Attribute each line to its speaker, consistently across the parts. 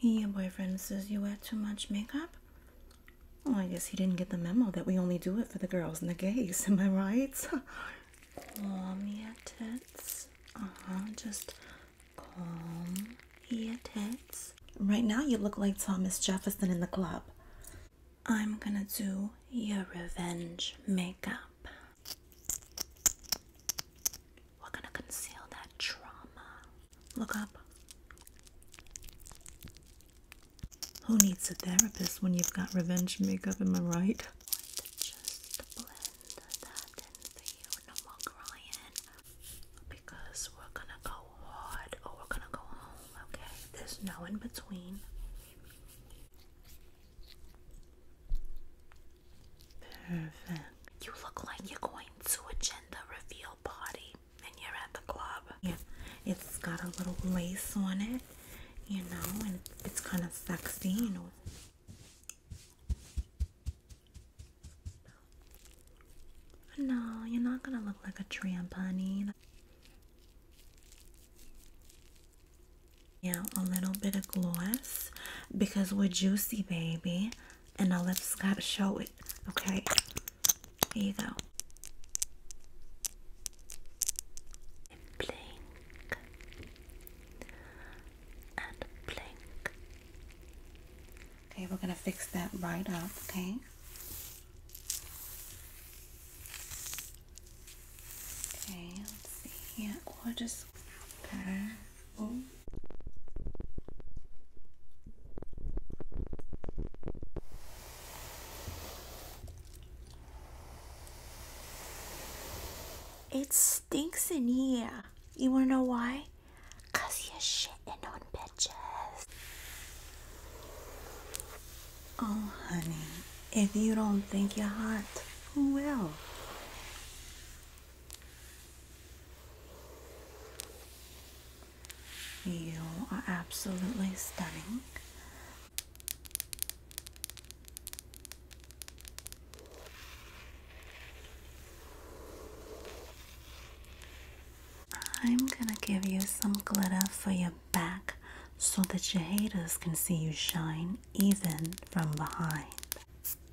Speaker 1: Your boyfriend says you wear too much makeup? Well, I guess he didn't get the memo that we only do it for the girls and the gays, am I right? calm your tits. Uh-huh, just calm your tits. Right now you look like Thomas Jefferson in the club. I'm gonna do your revenge makeup we gonna conceal that trauma. Look up. Who needs a therapist when you've got revenge makeup, am I right? To just blend that
Speaker 2: in for you, no more Because we're gonna go hard or oh, we're gonna go home,
Speaker 1: okay? There's no in between. Perfect. You look like you're going to a gender reveal party and you're at the club. Yeah, it's got a little lace on it, you know, and it's kind of sexy, you know. No, you're not gonna look like a tramp, honey. Yeah, a little bit of gloss because we're juicy, baby and the lips gotta show it. Okay, here you go. blink and blink. Okay, we're gonna fix that right up. Okay. Okay, let's see here. Okay. It stinks in here. You wanna know why? Cause you're shitting on bitches. Oh, honey, if you don't think you're hot, who will? You are absolutely stunning. I'm gonna give you some glitter for your back so that your haters can see you shine even from behind.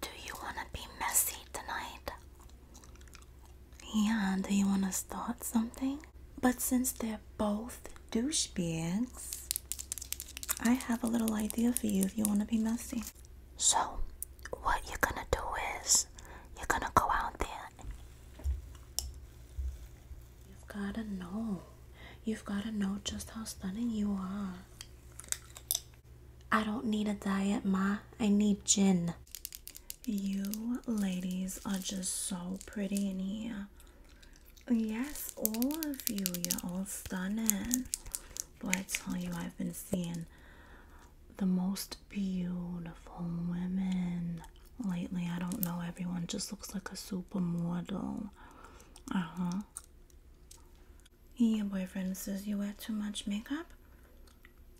Speaker 1: Do you want to be messy tonight? Yeah, do you want to start something? But since they're both douchebags, I have a little idea for you if you want to be messy. So, what you're gonna do is you're
Speaker 2: gonna go out there
Speaker 1: You've got to know. You've got to know just how stunning you are. I don't need a diet, Ma. I need gin. You ladies are just so pretty in here. Yes, all of you. You're all stunning. But I tell you, I've been seeing the most beautiful women lately. I don't know, everyone just looks like a supermodel. Uh huh. Your boyfriend says you wear too much makeup.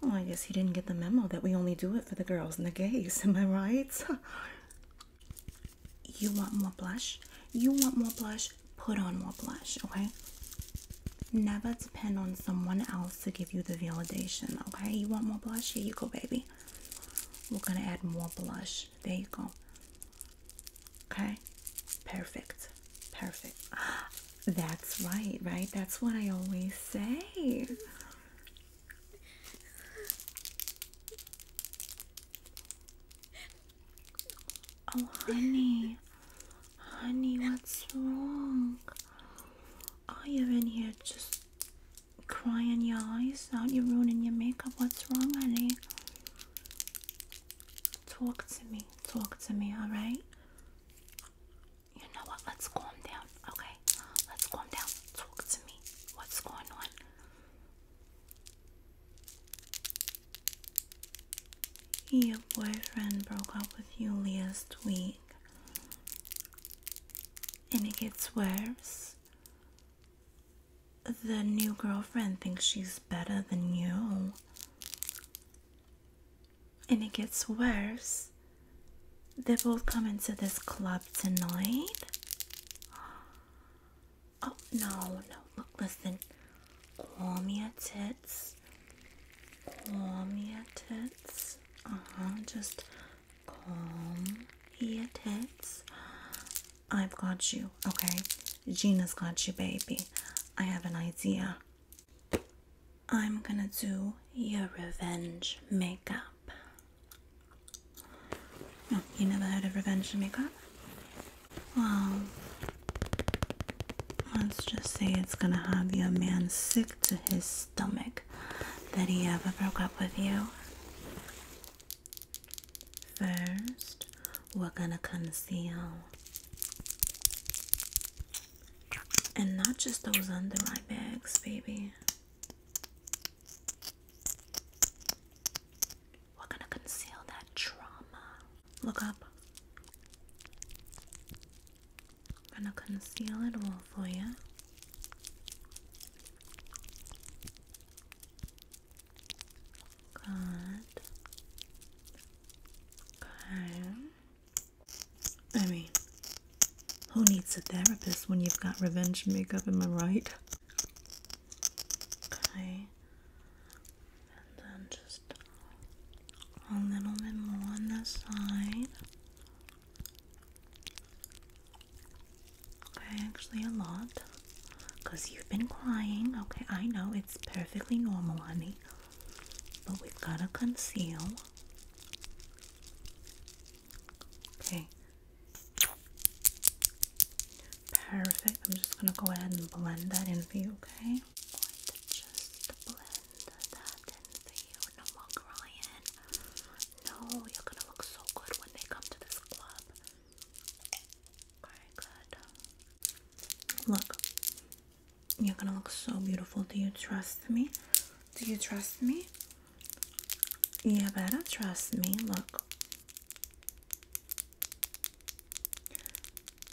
Speaker 1: Well, I guess he didn't get the memo that we only do it for the girls and the gays. Am I right? you want more blush? You want more blush? Put on more blush, okay? Never depend on someone else to give you the validation, okay? You want more blush? Here you go, baby. We're gonna add more blush. There you go. Okay, perfect, perfect. That's right, right? That's what I always say. Oh, honey, honey, what's wrong? Are you in here just crying your eyes out. You're ruining your makeup. What's wrong, honey? Talk to me. Talk to me, alright? You know what? Let's calm down, okay?
Speaker 2: Let's calm down. Talk to me. What's going on?
Speaker 1: Your boyfriend broke up with you last week. And it gets worse the new girlfriend thinks she's better than you. And it gets worse. They both come into this club tonight. Oh, no, no. Look, listen. Call Calm your tits. me a tits. Uh huh. Just calm here, tits. I've got you, okay? Gina's got you, baby. I have an idea. I'm gonna do your revenge makeup. Oh, you never heard of revenge makeup? Well, let's just say it's gonna have your man sick to his stomach that he ever broke up with you. First, we're going to conceal. And not just those under eye bags, baby. We're going to conceal that trauma. Look up. going to conceal it all for you. Good. Okay. I mean, who needs a therapist when you've got revenge makeup? Am I right? Okay. And then just a little bit more on this side. Okay, Actually, a lot. Because you've been crying. Okay, I know it's perfectly normal, honey. But we've got to conceal. Okay. Perfect. I'm just going to go ahead and blend that in for you, okay? just blend that in for you. No more crying. No, you're going to look so good when they come to this club. Very good. Um, look, you're gonna look so beautiful. Do you trust me? Do you trust me? You better trust me. Look.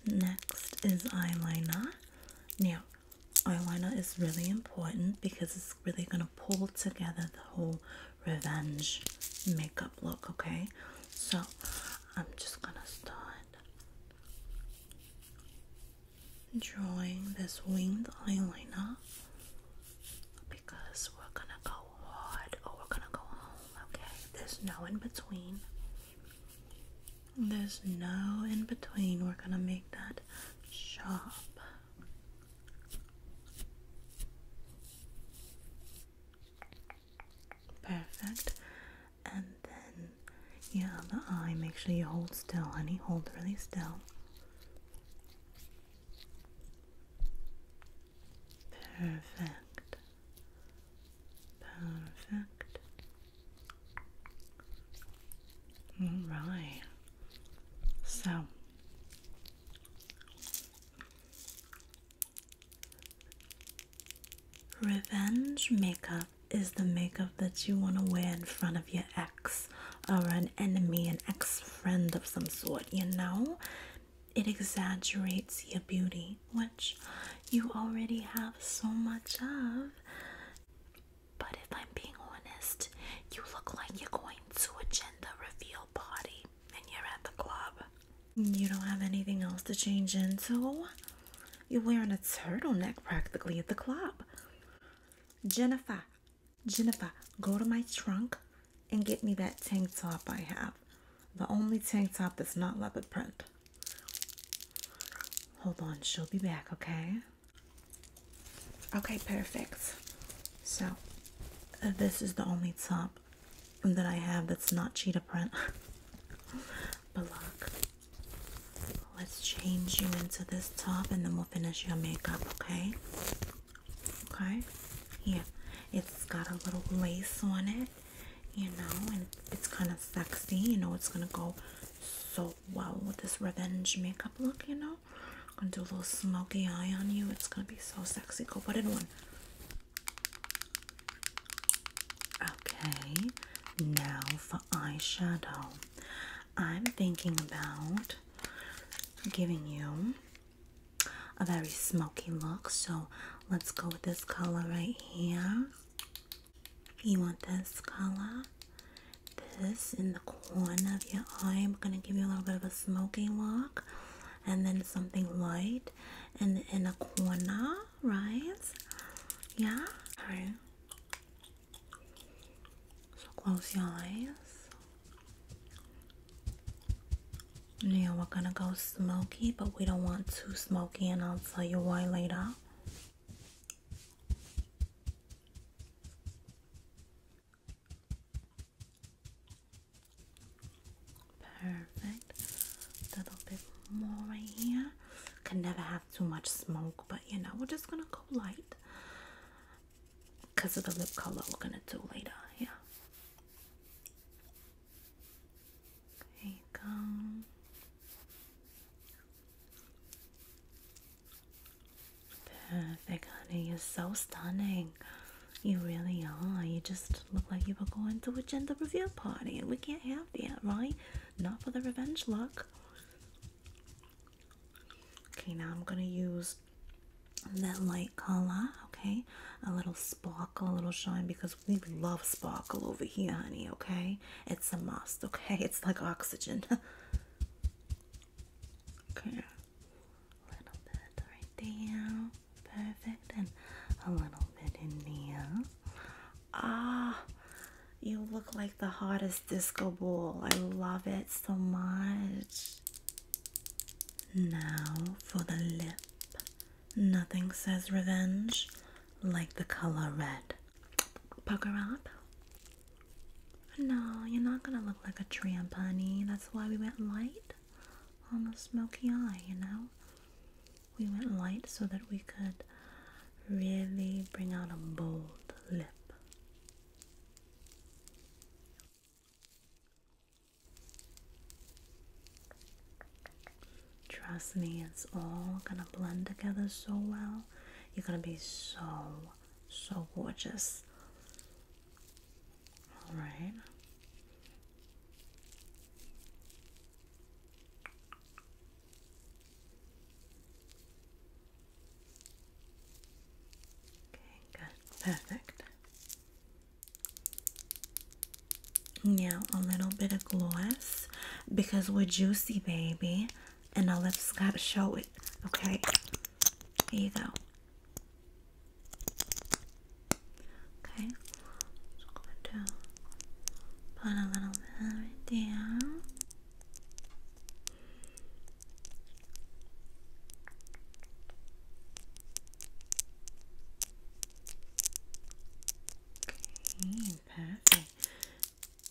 Speaker 1: Next is eyeliner. Now, eyeliner is really important because it's really going to pull together the whole revenge makeup look, okay? So I'm just gonna start drawing this winged eyeliner because we're gonna go hard or we're gonna go home, okay? There's no in between. There's no in between. We're gonna make that shop. Perfect. And then your other eye, make sure you hold still, honey. Hold really still. Perfect. Perfect. All right. So Revenge makeup is the makeup that you want to wear in front of your ex or an enemy, an ex friend of some sort, you know? It exaggerates your beauty, which you already have so much of. But if I'm being honest, you look like you're going to a gender reveal party and you're at the club. You don't have anything else to change into. You're wearing a turtleneck practically at the club. Jennifer, Jennifer, go to my trunk and get me that tank top I have. The only tank top that's not leopard print. Hold on, she'll be back, okay? Okay, perfect. So, this is the only top that I have that's not cheetah print. but look, let's change you into this top and then we'll finish your makeup, okay? Okay, yeah, it's got a little lace on it, you know, and it's kind of sexy, you know, it's gonna go so well with this revenge makeup look, you know. I'm gonna do a little smoky eye on you, it's gonna be so sexy. Go put it on. Okay, now for eyeshadow. I'm thinking about giving you a very smoky look, so let's go with this color right here. You want this color? This in the corner of your eye. I'm gonna give you a little bit of a smoky look and then something light and in a corner, right? Yeah, So close your eyes. Now we're gonna go smoky, but we don't want too smoky, and I'll tell you why later. Perfect. A little bit more right here. Can never have too much smoke, but you know, we're just gonna go light because of the lip color we're gonna do later. Yeah. There you go. Perfect, honey. You're so stunning. You really are. You just look like you were going to a gender reveal party, and we can't have that, right? Not for the revenge look. Okay, now I'm gonna use that light color, okay? A little sparkle, a little shine, because we love sparkle over here, honey, okay? It's a must, okay? It's like oxygen. okay, a little bit right there. Perfect. And a little bit in here. Ah, you look like the hottest disco ball. I love it so much. Now for the lip. Nothing says revenge like the color red. Pucker up. No, you're not gonna look like a tramp, honey. That's why we went light on the smoky eye, you know? We went light so that we could really bring out a bold lip. Trust me, it's all gonna blend together so well. You're gonna be so, so gorgeous. All right. Okay, good. Perfect. Now a little bit of gloss because we're juicy, baby, and our lips gotta show it. Okay, here you go. Okay, just going to put a little bit right there. Okay, perfect.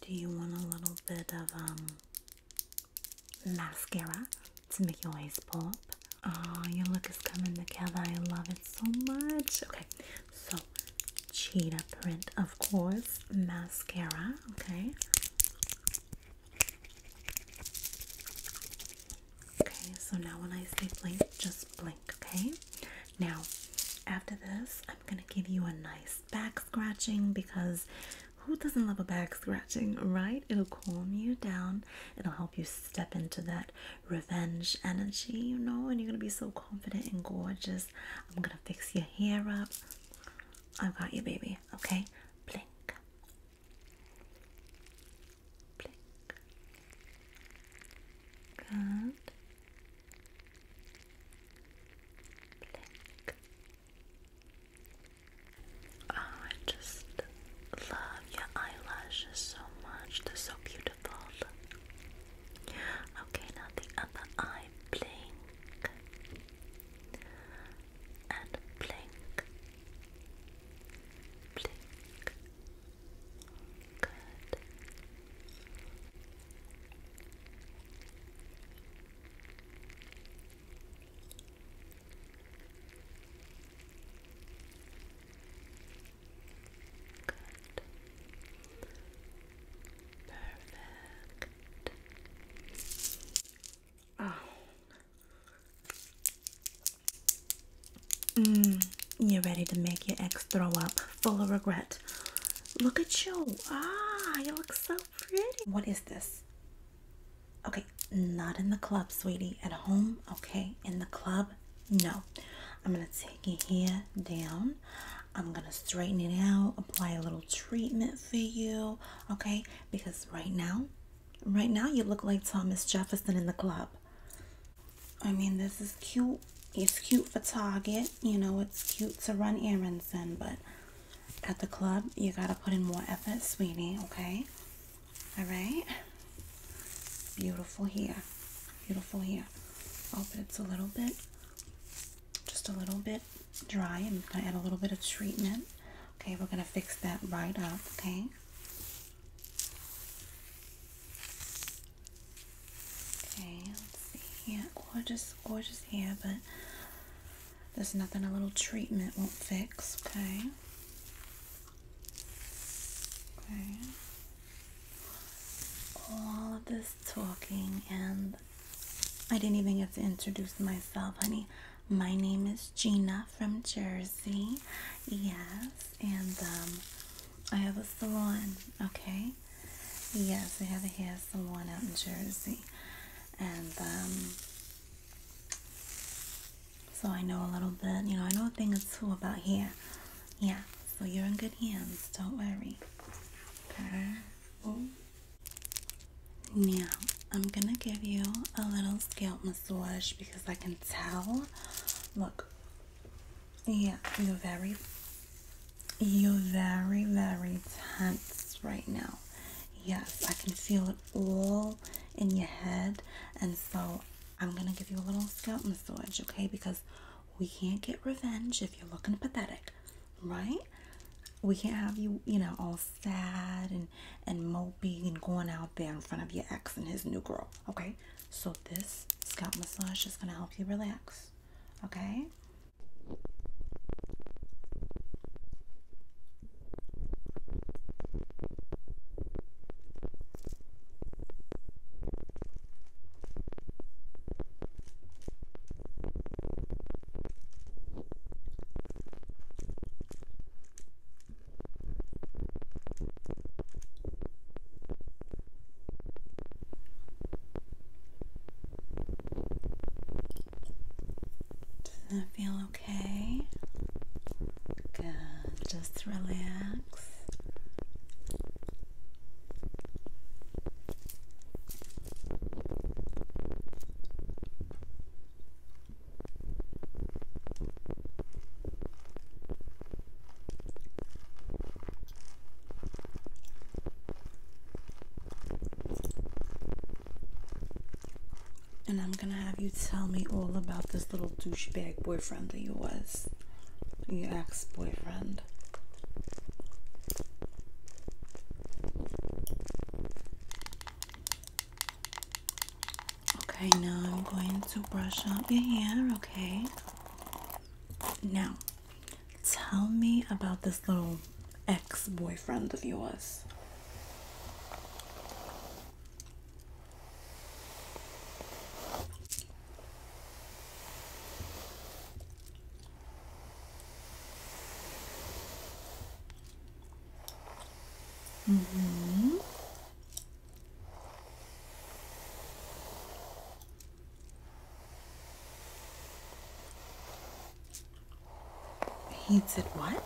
Speaker 1: Do you want a little bit of um mascara to make your eyes pop? Oh, your look is coming together. I love it so much. Okay, so cheetah print, of course, mascara. Okay. Okay, so now when I say blink, just blink, okay? Now, after this, I'm gonna give you a nice back scratching because who doesn't love a back scratching, right? It'll calm you down, it'll help you step into that revenge energy, you know, and you're gonna be so confident and gorgeous. I'm gonna fix your hair up. I've got you, baby. Okay, blink, blink. Good. Blink.
Speaker 2: Oh, I just love your eyelashes so much. They're so beautiful. Okay, now the other eye. Blink and blink. Blink. Good.
Speaker 1: Perfect. Oh. Mm, you're ready to make your ex throw up, full of regret. Look at you. Ah, you look so pretty. What is this? Okay, not in the club, sweetie. At home, okay. In the club, no. I'm going to take your hair down. I'm going to straighten it out, apply a little treatment for you, okay? Because right now, right now you look like Thomas Jefferson in the club. I mean, this is cute. It's cute for Target. You know, it's cute to run errands in, but at the club, you got to put in more effort, sweetie, okay? All right. Beautiful hair, Beautiful hair. Oh, but it's a little bit, just a little bit dry. I'm going to add a little bit of treatment. Okay, we're going to fix that right up, okay? Okay, let's see here. Gorgeous, gorgeous hair, but there's nothing a little treatment won't fix, okay? Okay. All of this talking, and I didn't even get to introduce myself, honey. My name is Gina from Jersey. Yes, and um, I have a salon, okay? Yes, we have a hair salon out in Jersey. And um, so I know a little bit, you know, I know a thing or two about hair. Yeah, so you're in good hands, don't worry. Okay. Now, I'm gonna give you a little scalp massage because I can tell. Look, yeah, you're very, you're very, very tense right now. Yes, I can feel it all in your head, and so I'm gonna give you a little scalp massage, okay? Because we can't get revenge if you're looking pathetic, right? We can't have you, you know, all sad and and moping and going out there in front of your ex and his new girl, okay? So this scalp massage is gonna help you relax, okay? does that feel okay? Good. Just relax. And I'm gonna have you tell me all about this little douchebag boyfriend of yours your ex-boyfriend. Okay, now I'm going to brush up your hair, okay? Now, tell me about this little ex boyfriend of yours.
Speaker 2: Mm-hmm.
Speaker 1: He said what?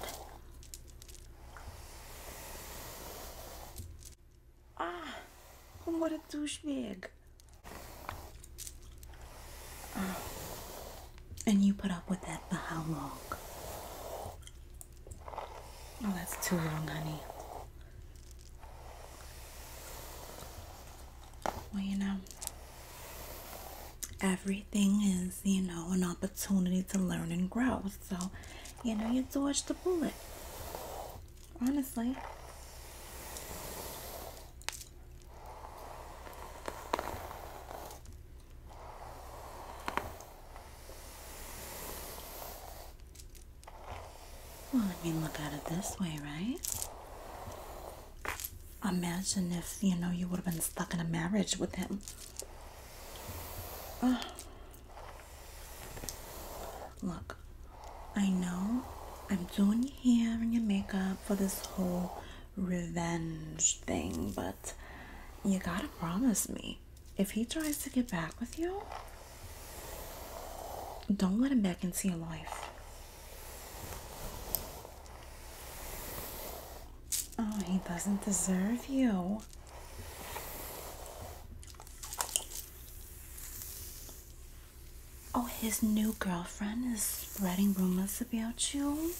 Speaker 1: Ah, what a douchebag. And you put up with that for how long? Oh, that's too long, honey. Well, you know, everything is, you know, an opportunity to learn and grow. So, you know, you dodged the bullet honestly. Well, let me look at it this way, right? Imagine if, you know, you would have been stuck in a marriage with him. Look, I know I'm doing your hair and your makeup for this whole revenge thing, but you gotta promise me if he tries to get back with you, don't let him back into your life. Oh, he doesn't deserve you. Oh, his new girlfriend is spreading rumors about you.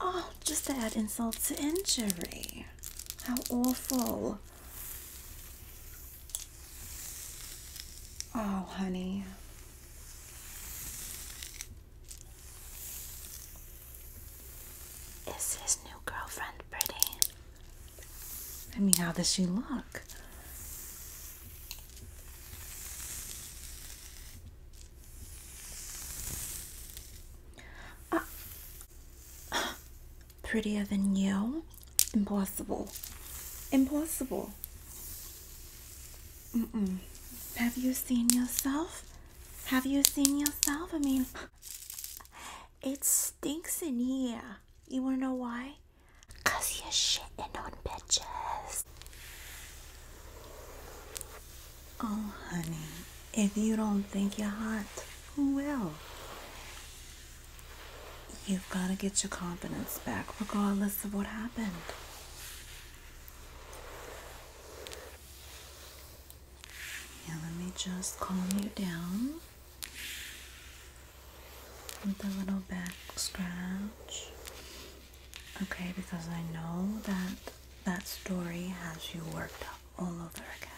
Speaker 1: Oh, just to add insult to injury. How awful. Oh, honey. Is his new girlfriend pretty? I mean, how does she look? Uh, prettier than you? Impossible. Impossible. Mm -mm. Have you seen yourself? Have you seen yourself? I mean, it stinks in here. You wanna know why? Cause you're shitting on bitches. Oh, honey, if you don't think you're hot, who will? You've gotta get your confidence back regardless of what happened. Yeah, let me just calm you down with a little back scratch. Okay, because I know that that story has you worked up all over again.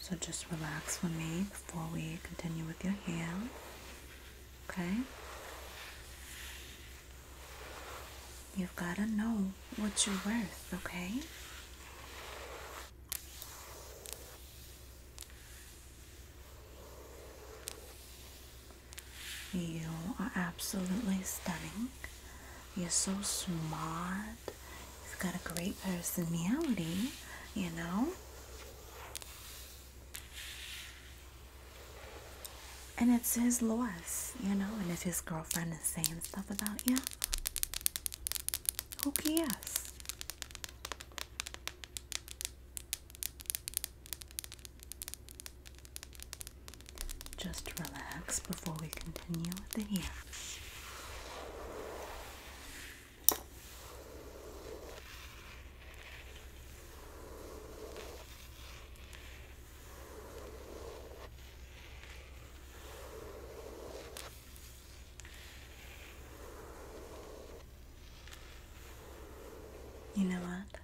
Speaker 1: So just relax for me before we continue with your hair. Okay? You've got to know what you're worth, okay? You are absolutely stunning. You're so smart. You've got a great personality, you know? And it's his loss, you know. And if his girlfriend is saying stuff about you, who cares? Just relax before we continue with the year. You know what?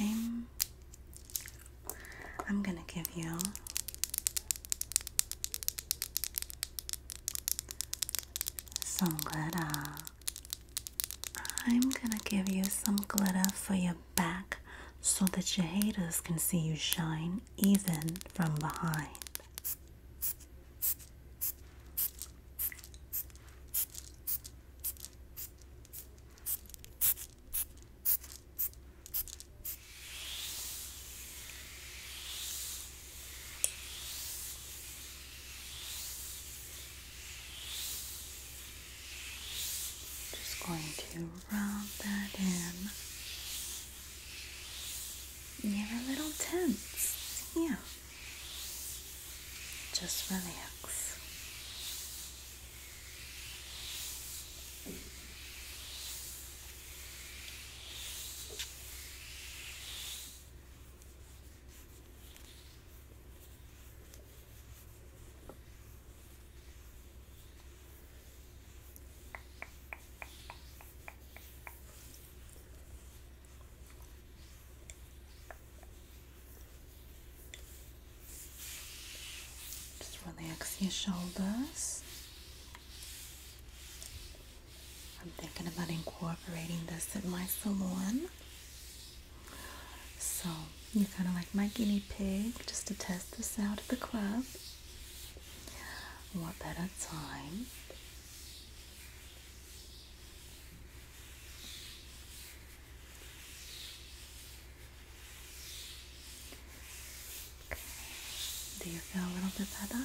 Speaker 1: I'm I'm going to give you some glitter. Uh, I'm gonna give you some glitter for your back so that your haters can see you shine even from behind. Just going to rub that in. You're a little tense. Yeah. Just relax. Just relax your shoulders. I'm thinking about incorporating this in my salon. So you kind of like my guinea pig just to test this out at the club. What better time? Do you feel a little bit better?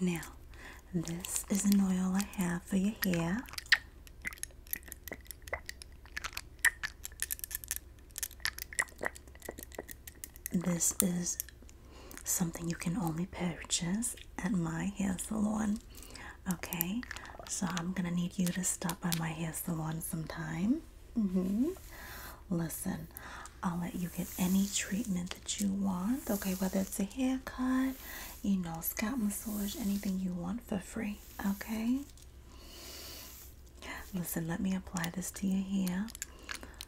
Speaker 1: Now, this is an oil I have for your hair this is something you can only purchase at my hair salon. Okay, so I'm gonna need you to stop by my hair salon sometime. Mm-hmm. Listen, I'll let you get any treatment that you want, okay, whether it's a haircut, you know, scalp massage, anything you want for free, okay? Listen, let me apply this to your hair.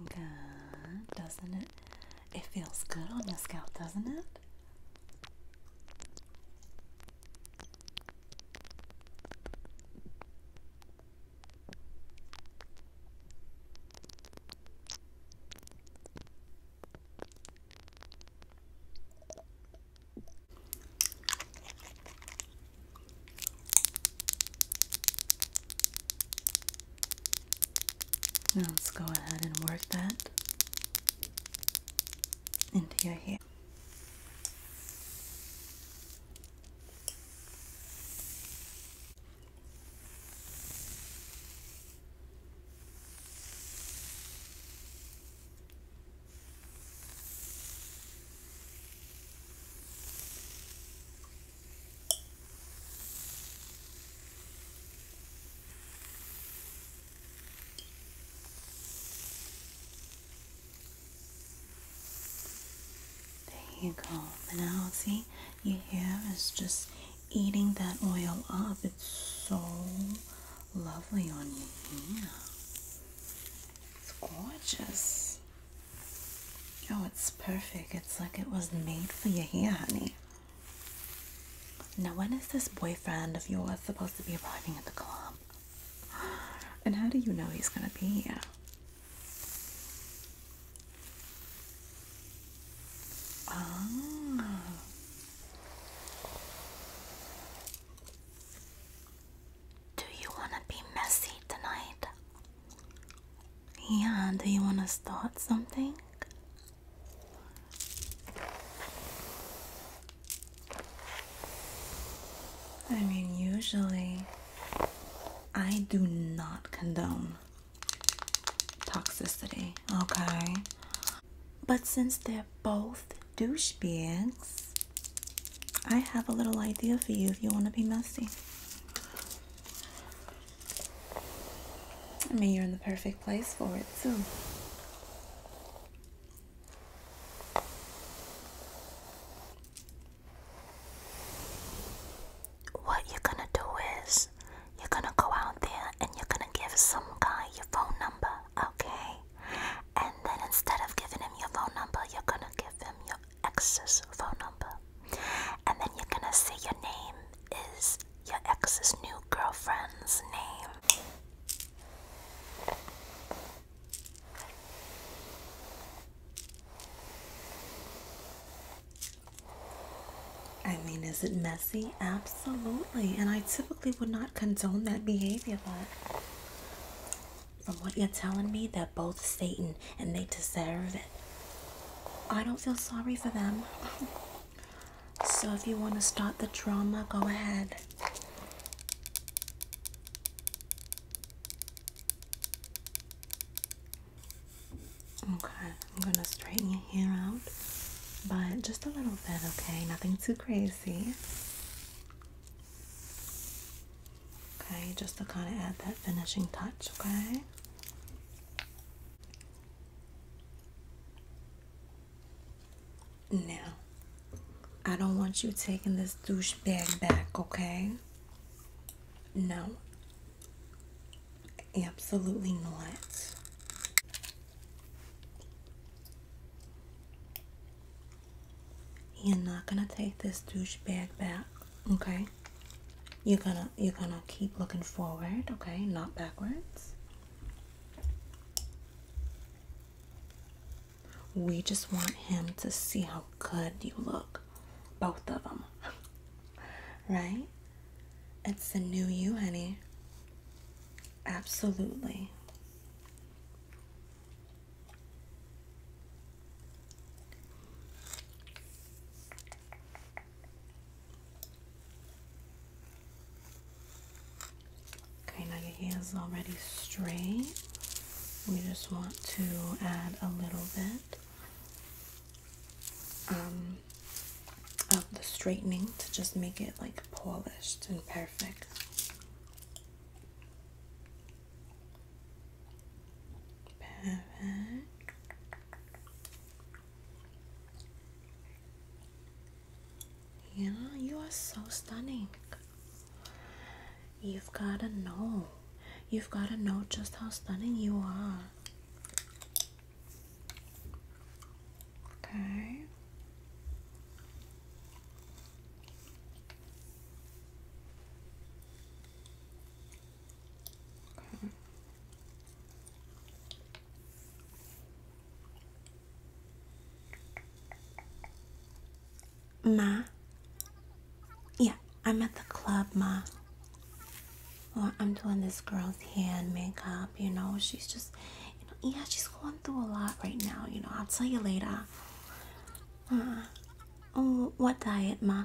Speaker 1: Looking doesn't it? It feels good on your scalp, doesn't it? let's go ahead and work that into your hair. There you go. And I'll see, your hair is just eating that oil up. It's so lovely on your hair. It's gorgeous. Oh, it's perfect. It's like it was made for your hair, honey. Now, when is this boyfriend of yours supposed to be arriving at the club? And how do you know he's gonna be here?
Speaker 2: Ah. Do you want to be messy tonight?
Speaker 1: Yeah, do you want to start something? I mean, usually I do not condone toxicity, okay? But since they're both douchebags, I have a little idea for you if you want to be messy. I mean, you're in the perfect place for it, too.
Speaker 2: What you're gonna do is you're gonna go out there and you're gonna give some guy your phone number, okay? And then instead of giving him your phone number, you're gonna give him your ex's phone number. And then you're gonna say your name is your ex's new girlfriend's name.
Speaker 1: I mean, is it messy? Absolutely. And I typically would not condone that behavior, but from what you're telling me, they're both Satan and they deserve it. I don't feel sorry for them. So if you want to start the drama, go ahead. Okay, I'm gonna straighten your hair out, but just a little bit, okay? Nothing too crazy. Okay, just to kind of add that finishing touch, okay? Now, I don't want you taking this douchebag back, okay? No. Absolutely not. You're not gonna take this douchebag back, okay? You're gonna you're gonna keep looking forward, okay? Not backwards. We just want him to see how good you look. Both of them. right? It's the new you, honey. Absolutely. Okay, now your hair is already straight. We just want to add a little bit um, of the straightening to just make it like polished and perfect. Perfect. Yeah, you are so stunning. You've gotta know. You've gotta know just how stunning you are. Okay. Okay. Ma? Yeah, I'm at the club, Ma. I'm doing this girl's hand makeup, you know. She's just, yeah, she's going through a lot right now, you know. I'll tell you later. Uh, oh, what diet, Ma?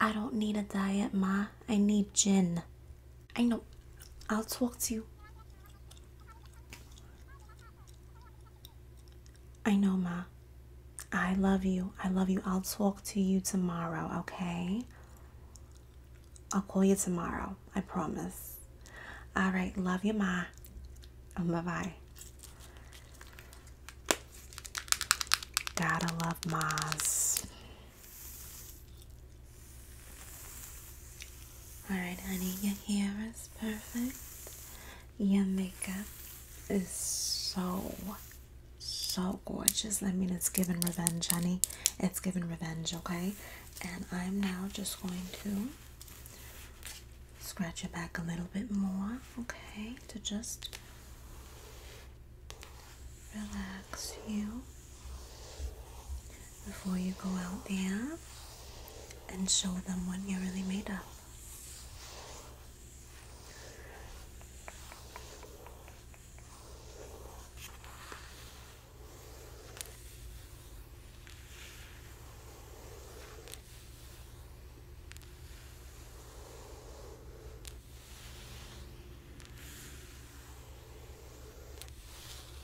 Speaker 1: I don't need a diet, Ma. I need gin. I know. I'll talk to you. I know, Ma. I love you. I love you. I'll talk to you tomorrow, okay? I'll call you tomorrow. I promise. All right. Love you, Ma. Oh, bye bye. Gotta love moms. Alright, honey, your hair is perfect. Your makeup is so, so gorgeous. I mean, it's given revenge, honey. It's given revenge, okay? And I'm now just going to scratch your back a little bit more, okay? To just relax you before you go out there and show them what you're really made of.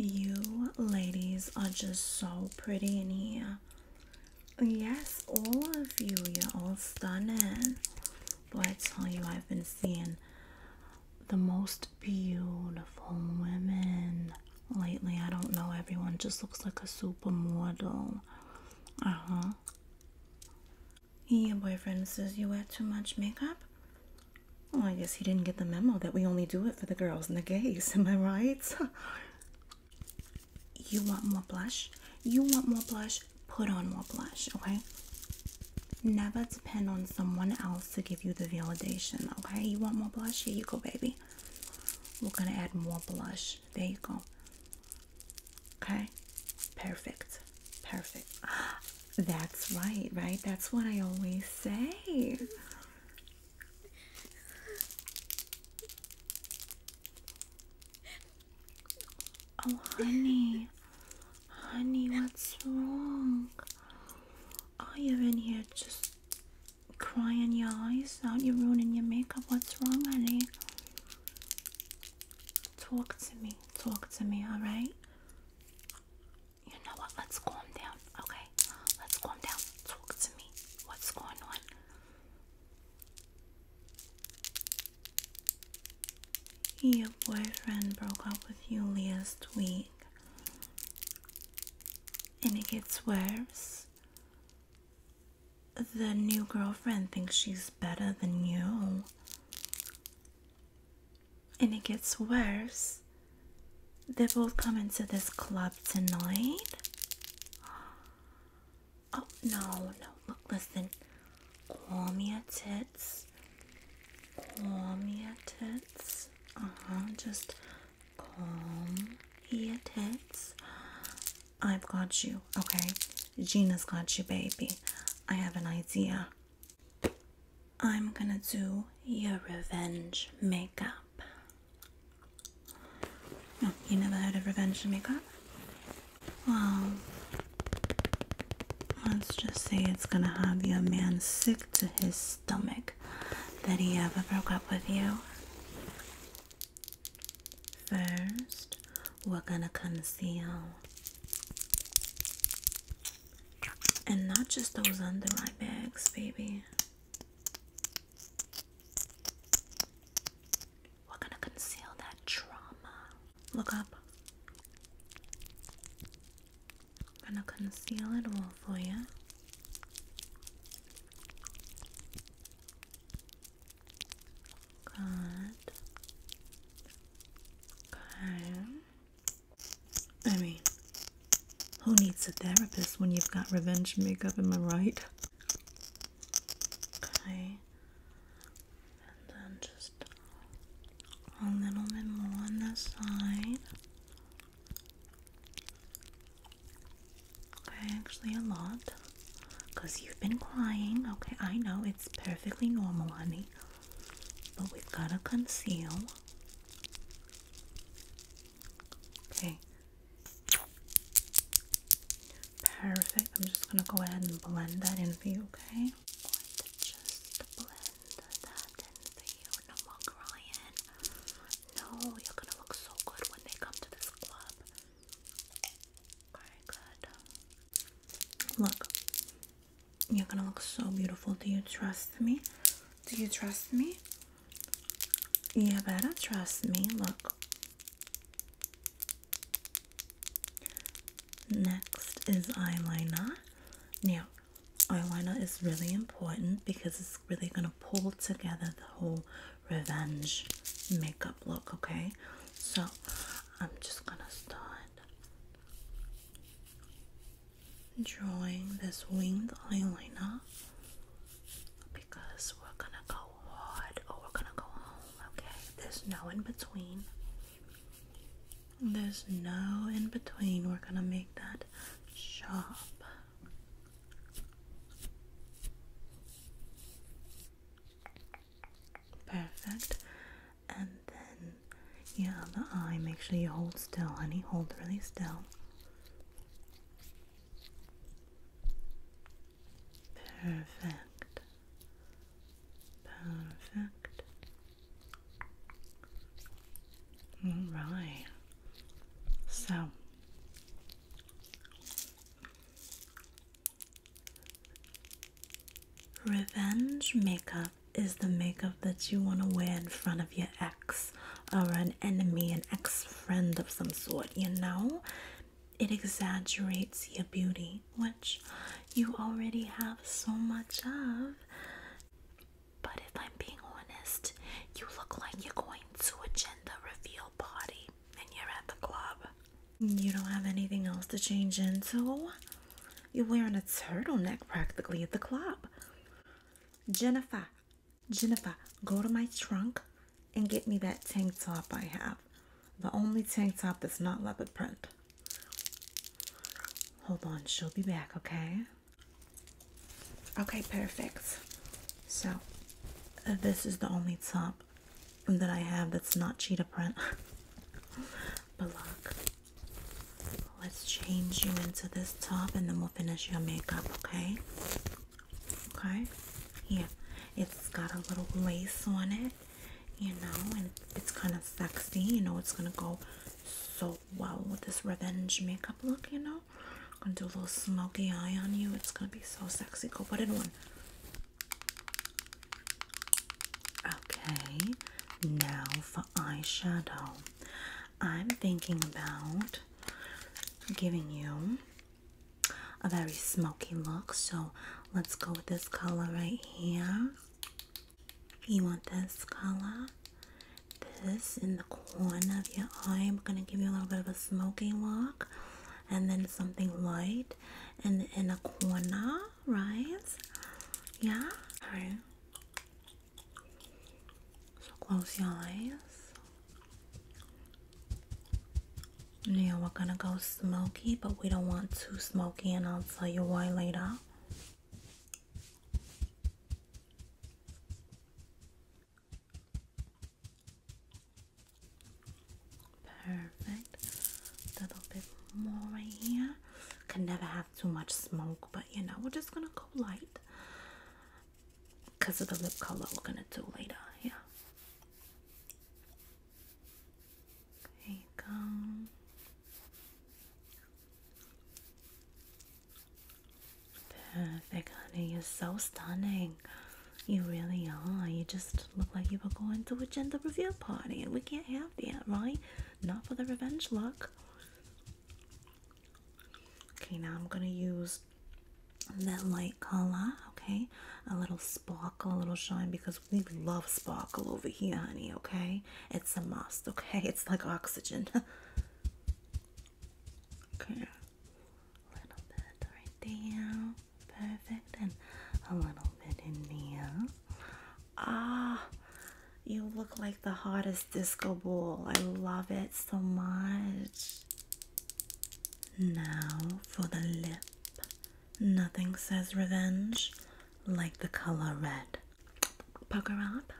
Speaker 1: You ladies are just so pretty in here. Yes, all of you, you're all stunning. But I tell you, I've been seeing the most beautiful women lately. I don't know, everyone just looks like a supermodel. Uh huh. Your boyfriend says you wear too much makeup? Oh, I guess he didn't get the memo that we only do it for the girls and the gays. Am I right? you want more blush? You want more blush? put on more blush, okay? Never depend on someone else to give you the validation, okay? You want more blush? Here you go, baby. We're gonna add more blush. There you go. Okay? Perfect. Perfect. That's right, right? That's what I always say. Oh, honey. honey, what's wrong? Are oh, you in here just crying your eyes out? You're ruining your makeup. What's wrong, honey? Talk to me. Talk to me, alright? You know what? Let's calm down, okay?
Speaker 2: Let's calm down. Talk to me. What's going on?
Speaker 1: Your boyfriend broke up with you last week. And it gets worse. The new girlfriend thinks she's better than you. And it gets worse. They both come into this club tonight. Oh, no, no. Look, listen. Call me a tits. Call me a tits. Uh huh. Just calm me a tits. I've got you, okay? Gina's got you, baby. I have an idea. I'm gonna do your revenge makeup. oh, you never heard of revenge makeup? Well, let's just say it's gonna have your man sick to his stomach that he ever broke up with you. First, we're gonna conceal. And not just those under eye bags, baby. We're gonna conceal that trauma. Look up. I'm gonna conceal it all for you. Good. Okay. I mean, who needs a therapist when you've got revenge makeup? Am I right? Okay and then just a little bit more on this side. Okay, actually a lot. Because you've been crying. Okay, I know it's perfectly normal, honey. But we've got to conceal. Okay. Perfect. I'm just going to go ahead and blend that in for you, okay? just blend that in for you. No more crying. No, you're gonna look so good when they come to this club. Look, you're gonna look so beautiful. Do you trust me? Do you trust me? You better trust me. Look. Next is eyeliner. Now, eyeliner is really important because it's really going to pull together the whole revenge makeup look, okay? So, I'm just going to start drawing this winged eyeliner because we're going to go hard or we're going to go home, okay? There's no in between. There's no in between. We're gonna make that shop Perfect. And then your other eye. Make sure you hold still, honey. Hold really still. Perfect. Perfect. Alright. So Revenge makeup is the makeup that you want to wear in front of your ex or an enemy, an ex friend of some sort, you know? It exaggerates your beauty which you already have so much of.
Speaker 2: But if I'm being honest, you look like you're going to a gender reveal party
Speaker 1: and you're at the club. You don't have anything else to change into. You're wearing a turtleneck practically at the club. Jennifer, Jennifer, go to my trunk and get me that tank top I have. The only tank top that's not leopard print. Hold on, she'll be back, okay? Okay, perfect. So, uh, this is the only top that I have that's not cheetah print. but look, let's change you into this top and then we'll finish your makeup, okay? Okay? Yeah, it's got a little lace on it you know, and it's kind of sexy, you know, it's gonna go so well with this revenge makeup look, you know. gonna do a little smoky eye on you, it's gonna be so sexy. Go put it on. Okay, now for eyeshadow. I'm thinking about giving you a very smoky look, so let's go with this color right here. You want this color, this in the corner of your eye. I'm gonna give you a little bit of a smoky look, and then something light in the inner corner, right? Yeah. All right. So close your eyes. Now we're gonna go smoky, but we don't want too smoky, and I'll tell you why later. Perfect. little bit more right here. Can never have too much smoke, but you know, we're just gonna go light because of the lip color we're gonna do later. Yeah. There Perfect, honey. You're so stunning. You really are. You just look like you were going to a gender reveal party, and we can't have that, right? Not for the revenge look. Okay, now I'm gonna use that light color, okay? A little sparkle, a little shine because we love sparkle over here, honey, okay? It's a must, okay? It's like oxygen. okay. A little bit right there. Perfect. And a little bit in there. Ah, you look like the hottest disco ball. I love it so much. Now for the lip. Nothing says revenge like the color red. Pucker up.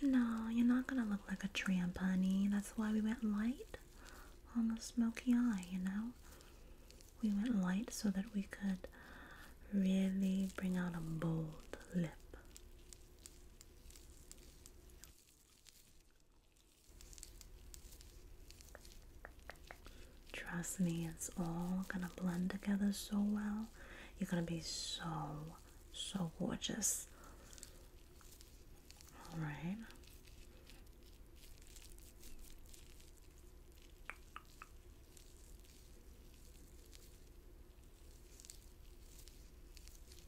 Speaker 1: No, you're not gonna look like a tramp, honey. That's why we went light on the smoky eye, you know? We went light so that we could really bring out a bold lip. Trust me, it's all gonna blend together so well. You're gonna be so, so gorgeous. All right.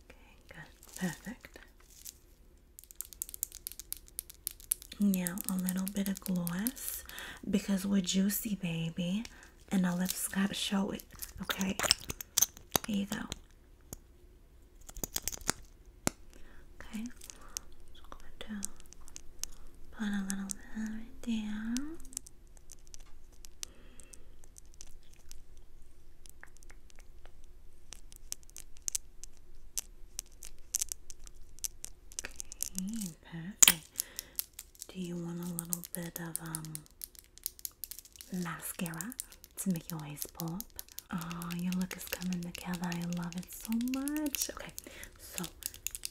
Speaker 1: Okay, good. Perfect. Now a little bit of gloss because we're juicy, baby, and our lips gotta show it. Okay, here you go. Okay, just going to put a little bit right Okay, perfect. Do you want a little bit of um mascara to make your eyes pop? Oh, your look is coming together. I love it so much. Okay, so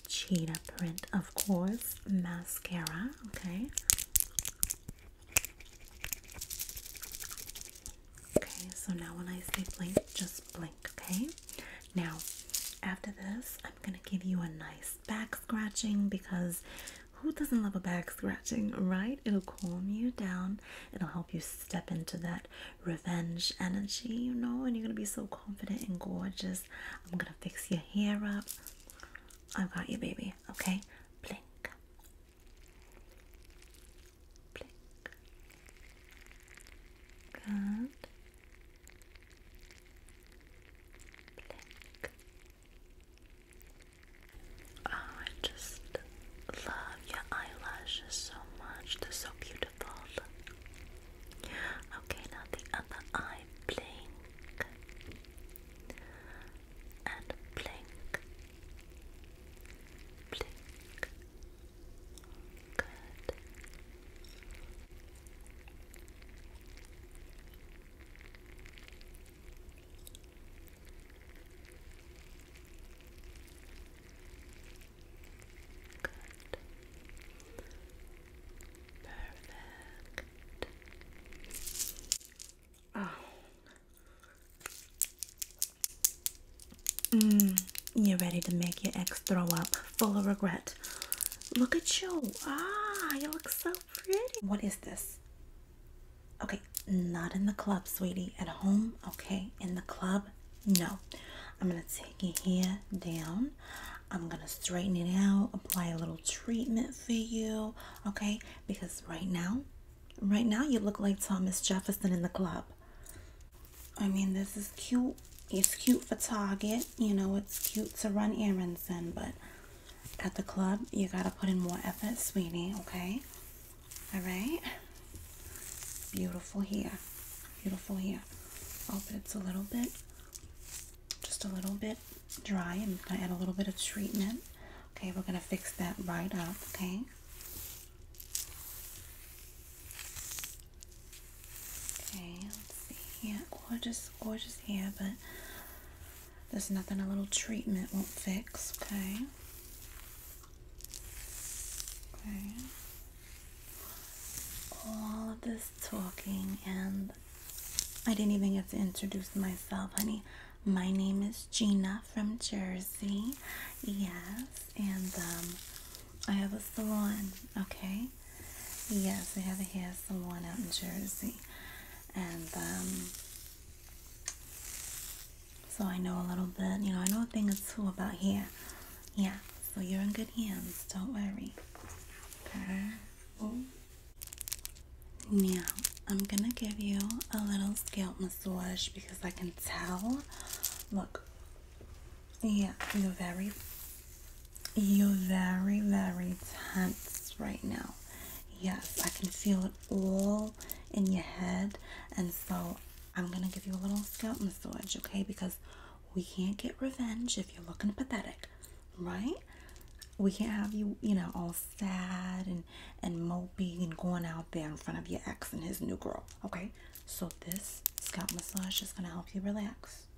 Speaker 1: cheetah print, of course, mascara. Okay. Okay, so now when I say blink, just blink, okay? Now, after this, I'm gonna give you a nice back scratching because who doesn't love a back scratching, right? It'll calm you down, it'll help you step into that revenge energy, you know, and you're gonna be so confident and gorgeous. I'm gonna fix your hair up. I've got you, baby, okay? Blink. Blink. Good.
Speaker 2: Oh, I just love your eyelashes so much. They're so beautiful. Okay, now the other eye. Blink. And blink. Blink. Good.
Speaker 1: Perfect. Oh. Mm, you're ready to make your ex throw up full of regret Look at you. Ah, you look so pretty. What is this? Okay, not in the club, sweetie. At home, okay. In the club, no. I'm going to take your hair down. I'm going to straighten it out, apply a little treatment for you, okay? Because right now, right now you look like Thomas Jefferson in the club. I mean, this is cute, it's cute for Target, you know, it's cute to run errands in, but at the club, you gotta put in more effort, sweetie, okay? Alright? Beautiful here. Beautiful here. Oh, but it's a little bit, just a little bit dry. I'm gonna add a little bit of treatment. Okay, we're gonna fix that right up, okay? Okay, let's see. Yeah, gorgeous, gorgeous hair, but there's nothing a little treatment won't fix. Okay. Okay. All of this talking, and I didn't even get to introduce myself, honey. My name is Gina from Jersey. Yes, and um, I have a salon. Okay, Yes, I have a hair salon out in Jersey. And um, so I know a little bit, you know, I know a thing or two about hair. Yeah, so you're in good hands, don't worry. Okay. Oh. Now, I'm gonna give you a little scalp massage because I can tell. Look, yeah, you're very, you're very, very tense right now. Yes, I can feel it all in your head. And so I'm going to give you a little scalp massage, okay? Because we can't get revenge if you're looking pathetic, right? We can't have you, you know, all sad and, and moping and going out there in front of your ex and his new girl, okay? So this scalp massage is going to help you relax.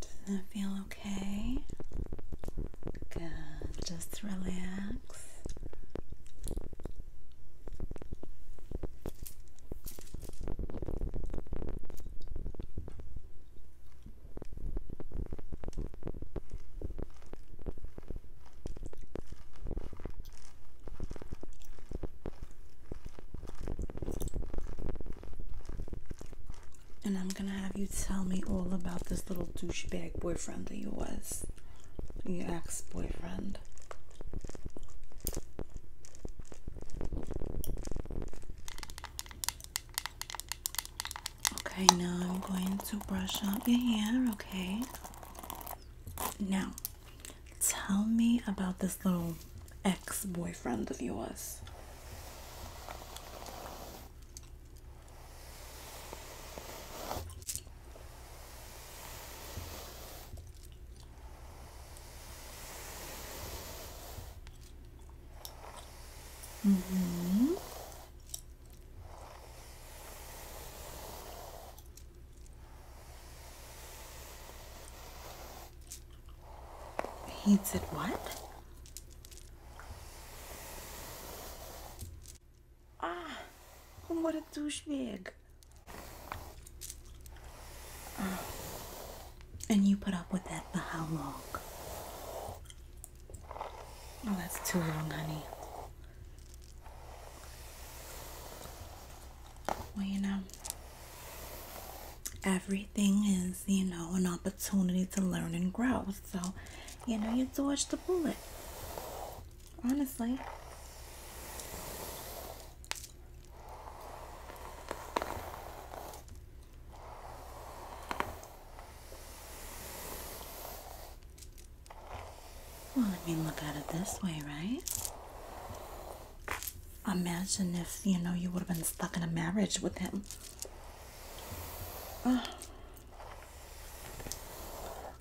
Speaker 1: Does that feel okay? Good. Just relax. And I'm gonna have you tell me all about this little douchebag boyfriend that you was. Your ex boyfriend. Okay, now I'm going to brush out your hair, okay? Now, Tell me about this little ex boyfriend of yours.
Speaker 2: Mm-hmm.
Speaker 1: He said what? Ah, what a douchebag. And ah. you put up with that for how long? Oh, that's too long, honey. Well, you know, everything is, you know, an opportunity to learn and grow. So, you know, you dodge the bullet. Honestly. Well, I mean, look at it this way, right? Imagine if you know you would have been stuck in a marriage with him.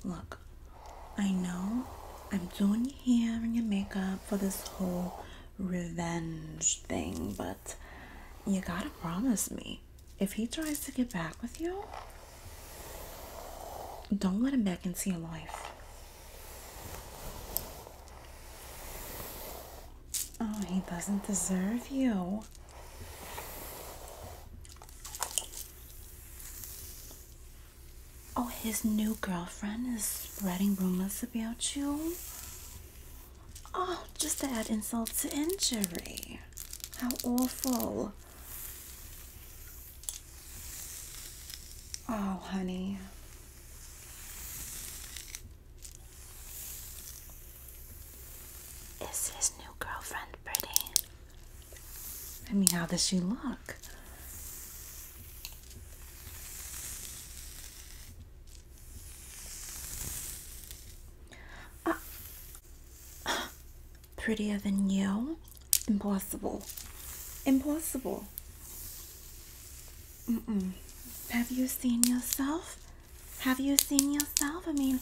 Speaker 1: look, I know I'm doing your hair and your makeup for this whole revenge thing, but you gotta promise me if he tries to get back with you, don't let him back into your life. Oh, he doesn't deserve you. Oh, his new girlfriend is spreading rumors about you? Oh, just to add insult to injury. How awful. Oh, honey. Is his new girlfriend pretty? I mean, how does she look? Uh, prettier than you? Impossible. Impossible. Have you seen yourself? Have you seen yourself? I mean,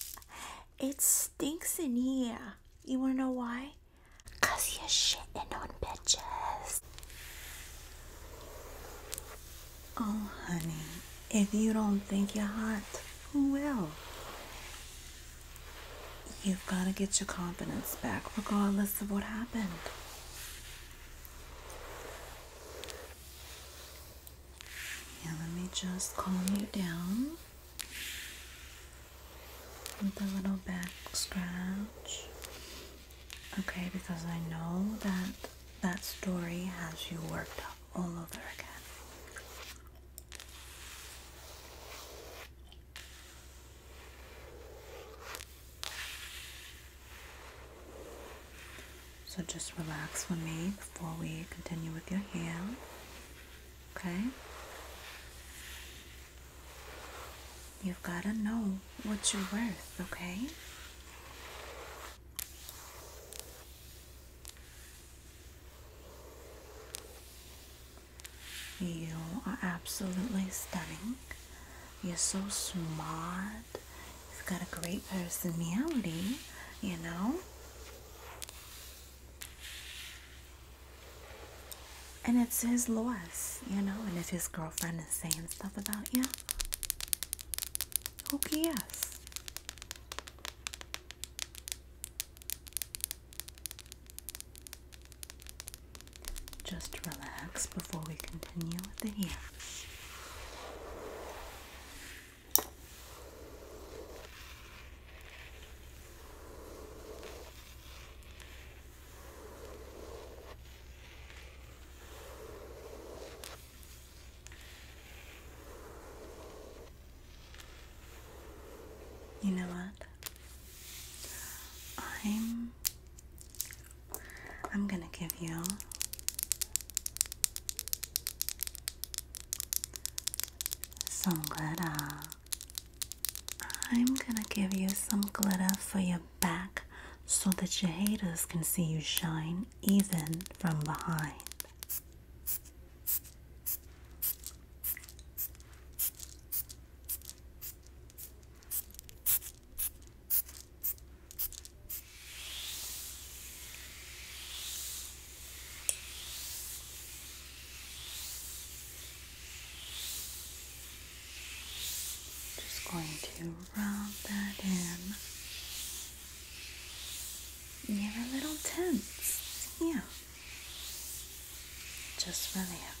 Speaker 1: it stinks in here. You wanna know why?
Speaker 2: Cause you're shitting on
Speaker 1: bitches. Oh, honey, if you don't think you're hot, who will? You've got to get your confidence back regardless of what happened. Yeah, let me just calm you down with a little back scratch. Okay, because I know that that story has you worked up all over again. So just relax for me before we continue with your hair. Okay? You've got to know what you're worth, okay? You are absolutely stunning. You're so smart. You've got a great personality, you know? And it's his loss, you know? And if his girlfriend is saying stuff about you, who cares? Just relax before we continue with the hands. You know what? I'm I'm going to give you some glitter. I'm going to give you some glitter for your back so that your haters can see you shine even from behind. Just going to rub that in. You're a little tense. Yeah. Just relax.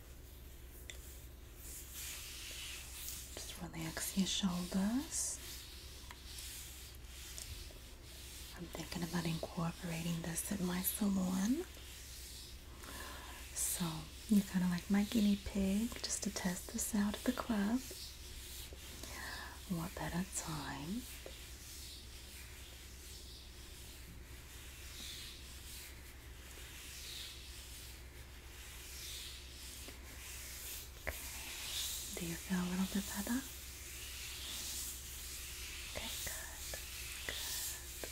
Speaker 1: Just relax your shoulders. I'm thinking about incorporating this at my salon. So you kind of like my guinea pig just to test this out at the club. What better time? Do you feel a little bit better? Okay, good. Good.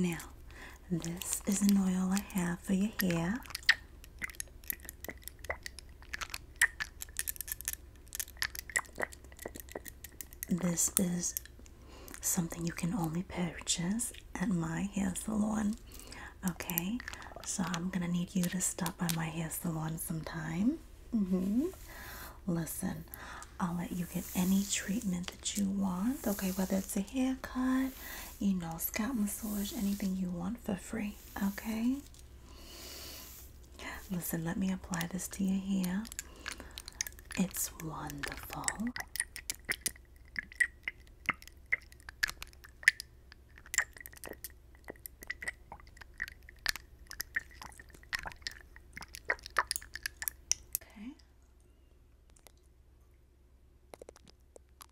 Speaker 1: Now, this is an oil I have for your hair. This is something you can only purchase at my hair salon. Okay, so I'm gonna need you to stop by my hair salon sometime. Mm hmm Listen, I'll let you get any treatment that you want. Okay, whether it's a haircut, you know, scalp massage, anything you want for free. Okay. Listen, let me apply this to your hair. It's wonderful. Okay.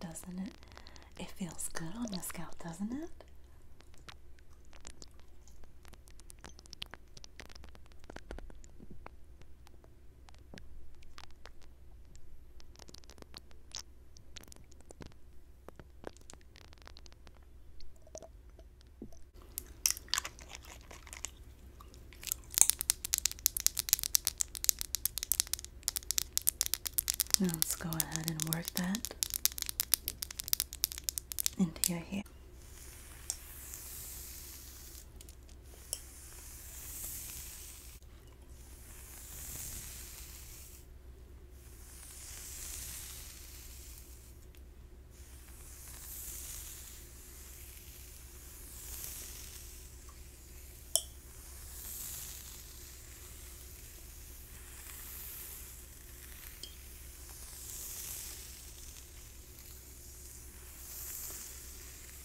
Speaker 1: Doesn't it? It feels good on the scalp, doesn't it? Now let's go ahead and work that into your hair.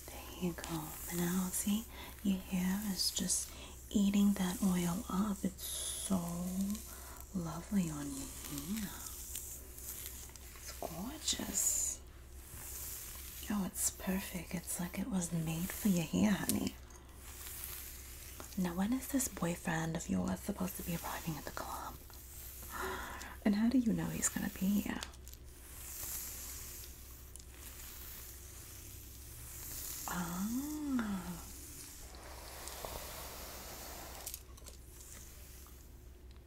Speaker 1: There you go. And now see, your hair is just eating that oil up. It's so lovely on your hair. It's gorgeous. Oh, it's perfect. It's like it was made for you here, honey. Now, when is this boyfriend of yours supposed to be arriving at the club? And how do you know he's gonna be here? Ah.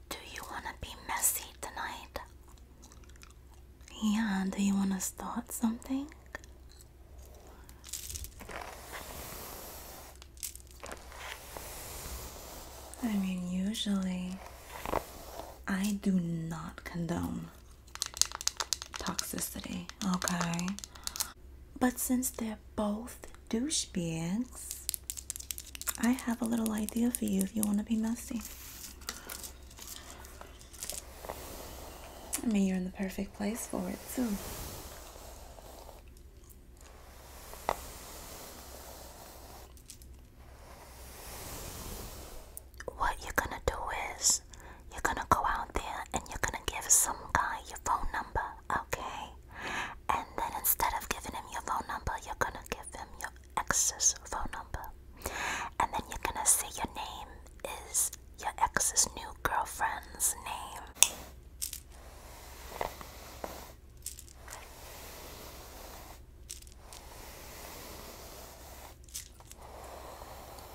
Speaker 2: Do you want to be messy
Speaker 1: tonight? Yeah, do you want to start something? I mean, usually I do not condone toxicity, okay? But since they're both douchebags, I have a little idea for you if you want to be messy. I mean, you're in the perfect place for it, too.
Speaker 2: What you're gonna do is you're gonna go out there and you're gonna give some guy your phone number, okay? And then instead of giving him your phone number, you're gonna give him your ex's phone number. And then you're gonna say your name is your ex's new girlfriend's name.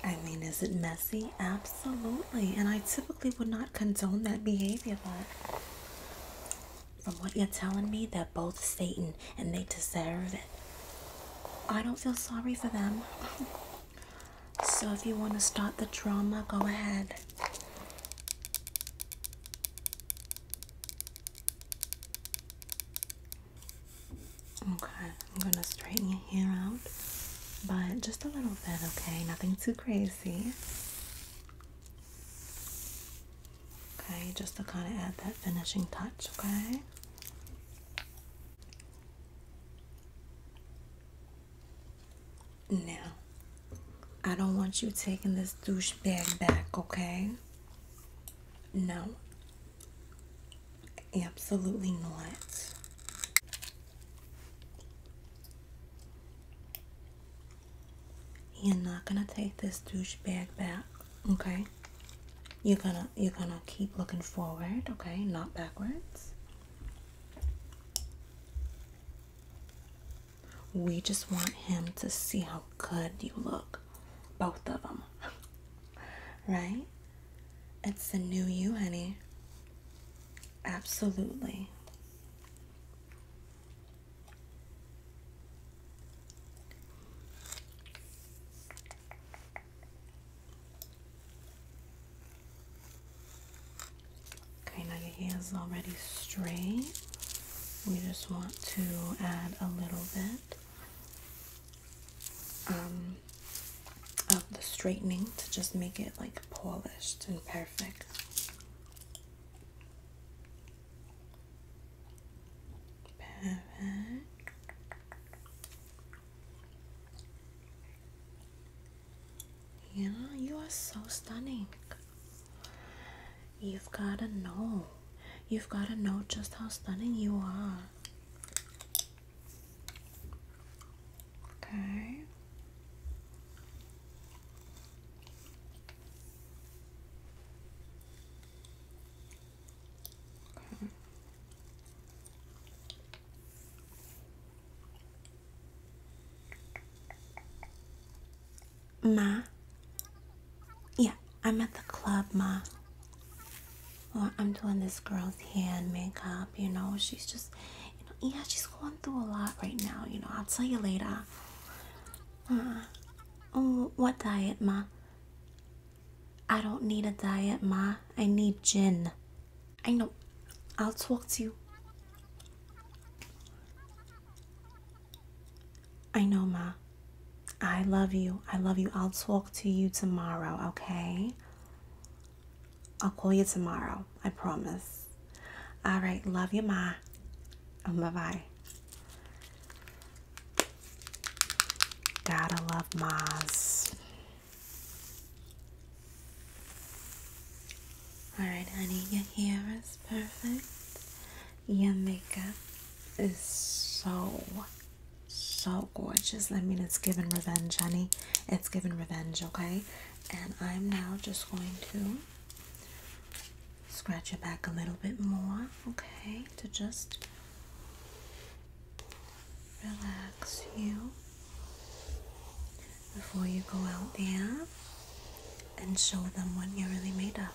Speaker 1: I mean, is it messy? Absolutely. And I typically would not condone that behavior, but from what you're telling me, they're both Satan and they deserve it. I don't feel sorry for them. so if you want to start the drama, go ahead. Okay, I'm gonna straighten your hair out, but just a little bit, okay? Nothing too crazy. Okay, just to kind of add that finishing touch, okay? Now, I don't want you taking this douchebag back, okay? No. Absolutely not. You're not gonna take this douchebag back, okay? You're gonna you're gonna keep looking forward, okay? Not backwards. We just want him to see how good you look, both of them, right? It's the new you, honey. Absolutely. Okay, now your hair is already straight. We just want to add a little bit um, of the straightening to just make it like polished and perfect. Yeah, you are so stunning. You've gotta know. You've gotta know just how stunning you are. Okay. Ma. Yeah, I'm at the club, Ma. I'm doing this girl's hand makeup, you know. She's just, yeah, she's going through a lot right now, you know. I'll tell you later. Uh, Oh, what diet, Ma? I don't need a diet, Ma. I need gin. I know. I'll talk to you. I know, Ma. I love you. I love you. I'll talk to you tomorrow, okay? I'll call you tomorrow. I promise. All right. Love you, Ma. Bye bye. Gotta love Moz. Alright, honey, your hair is perfect. Your makeup is so, so gorgeous. I mean, it's given revenge, honey. It's given revenge, okay? And I'm now just going to scratch your back a little bit more, okay, to just relax you before you go out there and show them what you're really made up.